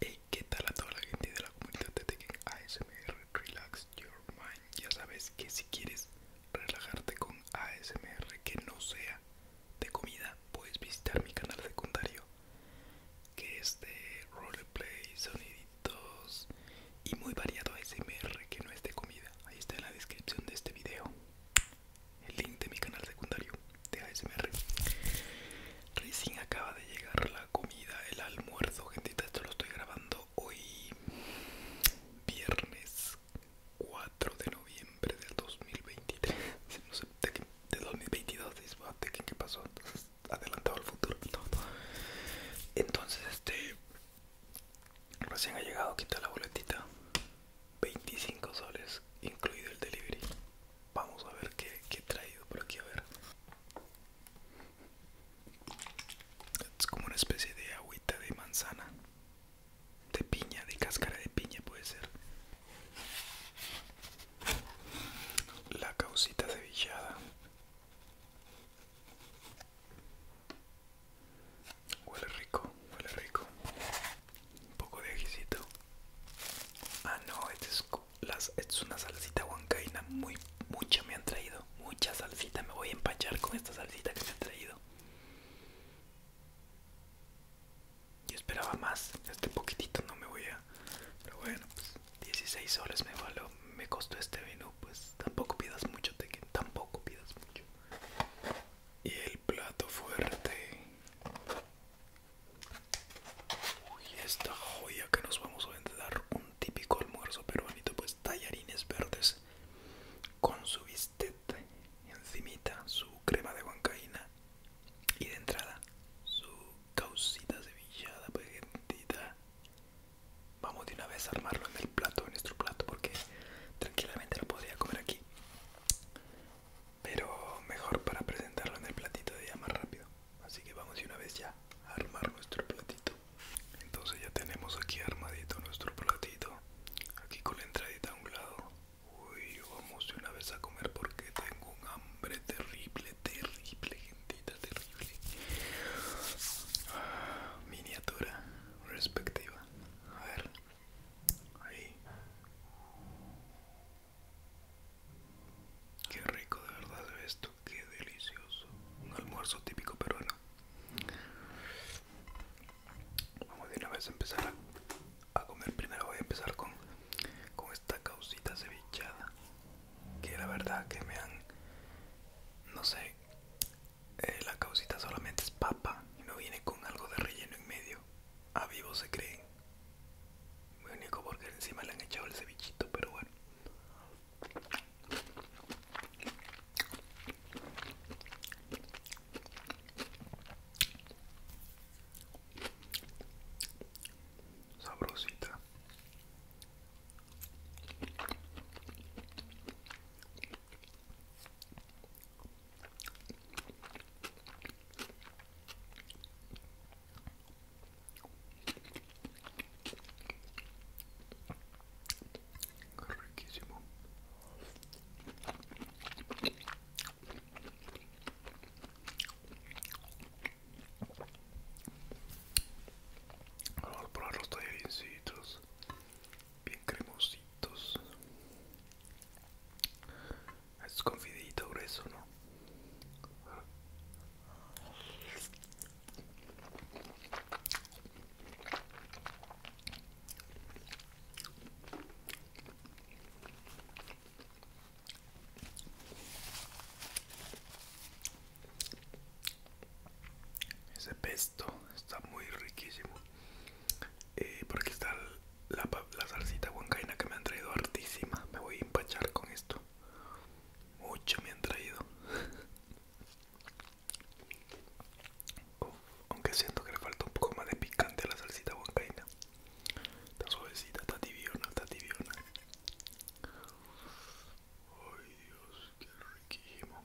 Hey, ¿qué tal a toda la gente de la comunidad de Tekken ASMR Relax Your Mind? Ya sabes que si quieres relajarte con ASMR que no sea de comida, puedes visitar mi canal secundario que es de roleplay, soniditos y muy variado ASMR que no es de comida. Ahí está en la descripción de este video el link de mi canal secundario de ASMR. Recién acaba de llegar la comida, el almuerzo, gentita, esto lo estoy grabando hoy viernes 4 de noviembre del 2023. No sé, de, de 2022, de qué pasó, adelantado al futuro. Entonces este recién ha llegado, quita la boletita. 25 soles incluido el delivery vamos a ver qué, he traído por aquí a ver es como una especie de agüita de manzana de piña de cáscara de piña puede ser la causita villada huele rico huele rico un poco de ajicito ah no este esta es, una salsita huancaína muy mucha me han traído mucha salsita me voy a empachar con esta salsita que me han traído yo esperaba más este poquitito no me voy a pero bueno 16 soles pues, me való me costó este vino pues tampoco pidas mucho te tampoco pidas mucho y el plato fuerte y esta joya que nos vamos a vender un típico almuerzo pero bonito pues tallarines verdes con su bistec encimita su crema de guancaína y de entrada su causita sevillada gentita. vamos de una vez a armarlo en el plato en nuestro plato porque tranquilamente lo podría comer aquí pero mejor para presentarlo en el platito de ya más rápido así que vamos de una vez ya a armar nuestro platito entonces ya tenemos aquí armadito nuestro platito aquí con la entradita a un lado uy vamos de una vez a comer porque tengo un hambre terrible terrible gentita terrible ah, miniatura respectiva a ver Ahí. Qué rico de verdad esto, qué delicioso. Un almuerzo típico peruano. Vamos de una vez a empezar a, comer. Primero voy a empezar con, con esta causita cevichada. Que la verdad que me han... No sé, eh, la causita solamente es papa y no viene con algo de relleno en medio. A vivo se creen. Muy único porque encima le han echado el cevichito, pero bueno. Sabrosita riquísimo Vamos a probar los tallerincitos bien cremositos. Es confidito por grueso, ¿no? Ese pez esto está muy riquísimo eh, porque está la, salsita huancaina que me han traído hartísima me voy a empachar con esto mucho me han traído aunque siento que le falta un poco más de picante a la salsita huancaina está suavecita está tibiona está tibiona ay Dios, qué riquísimo.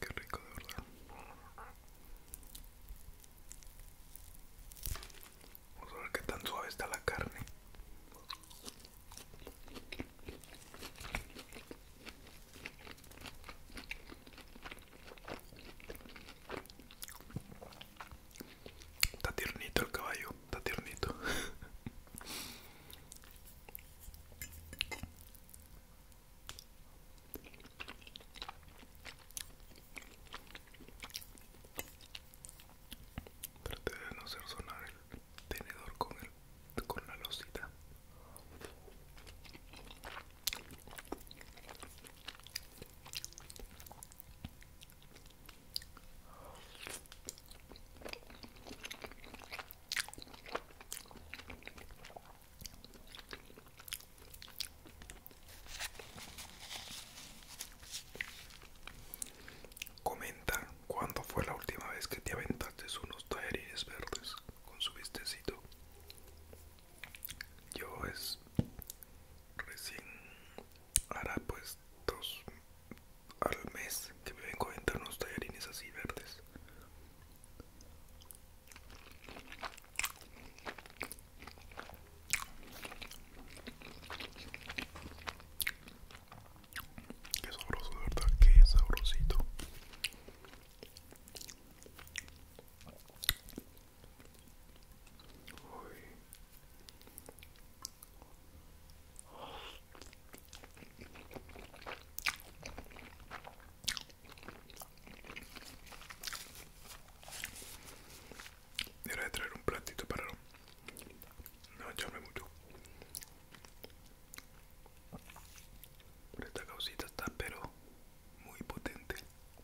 Qué rico de verdad. Vamos a ver qué tan suave está la carne. Está tiernito el caballo, está tiernito. Trate de no hacer sonar el tenedor con, el, con la losita. Comenta cuándo fue la última vez que te aventaste unos talleres verdes con su vistecito. Yo es recién Ahora, pues dos al mes que me vengo a unos tallarines así verdes Qué sabroso, de verdad, qué sabrosito era de traer un platito para no echarme mucho. esta causita está pero muy potente.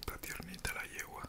Está tiernita la yegua.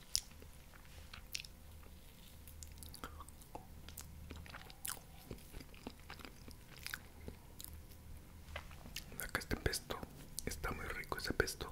Acá este pesto, está muy rico ese pesto.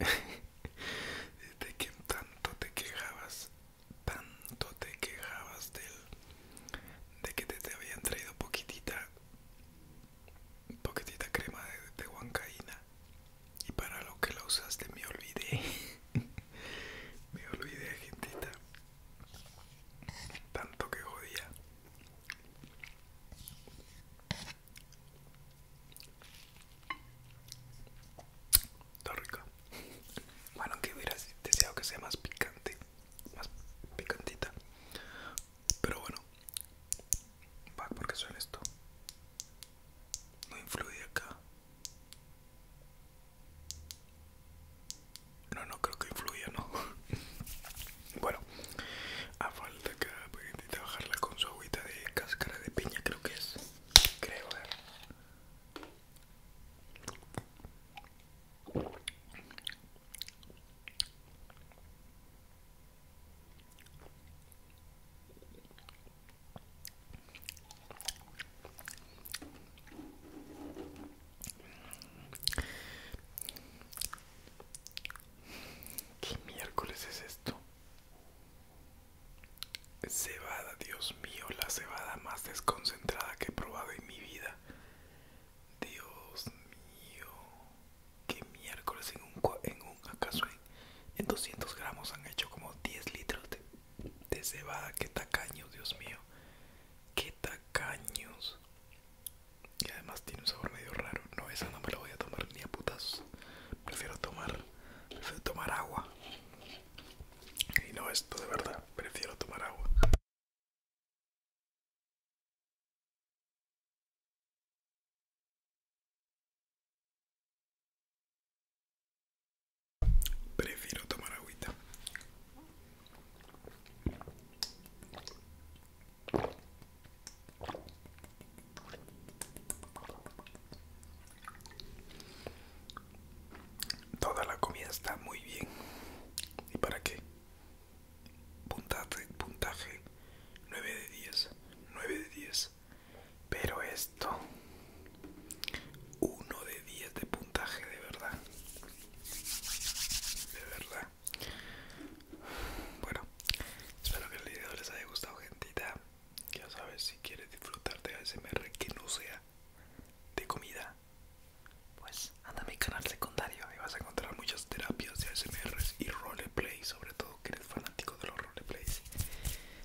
Desde, que tanto te quejabas, tanto te quejabas del, de que te, te habían traído poquitita, poquitita crema de, de y para lo que la usaste me olvidé, me olvidé, gentita. Tanto que jodía. Está rica. Bueno, que hubiera deseado que sea más picante. Más picantita. Pero bueno. Va, porque suena esto. No influye acá. No, no creo que influya, ¿no? bueno, a falta que intentar bajarla con su agüita de cáscara de piña, creo que es. Creo, ¿Qué miércoles es esto? Cebada, Dios mío, la cebada más desconcentrada que he probado en mi vida. Dios mío, qué miércoles en un, en un acaso en, 200 gramos han hecho como 10 litros de, de cebada, qué tacaño, Dios mío. Qué tacaños. Y además tiene un sabor medio raro. No, esa no me la voy a tomar ni a putas Prefiero tomar, prefiero tomar agua. Y no esto de verdad, prefiero tomar agua. Prefiero tomar agüita. Toda la comida está muy bien. ¿Y para qué? Puntaje, puntaje 9 de 10, 9 de 10. Pero esto 1 de 10 de puntaje, de verdad. De verdad. Bueno, espero que el video les haya gustado, gentita. Ya sabes, si quieres disfrutar de ASMR que no sea de comida, pues anda a mi canal secundario. Ahí vas a encontrar muchas terapias de ASMR y roleplay, sobre todo que eres fanático de los roleplays.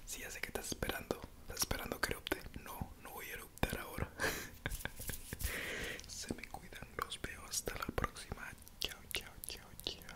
Si sí, ya sé que estás esperando, estás esperando que opte. No, no voy a hasta ahora. Se me cuidan, los veo hasta la próxima. Chao, chao, chao, chao.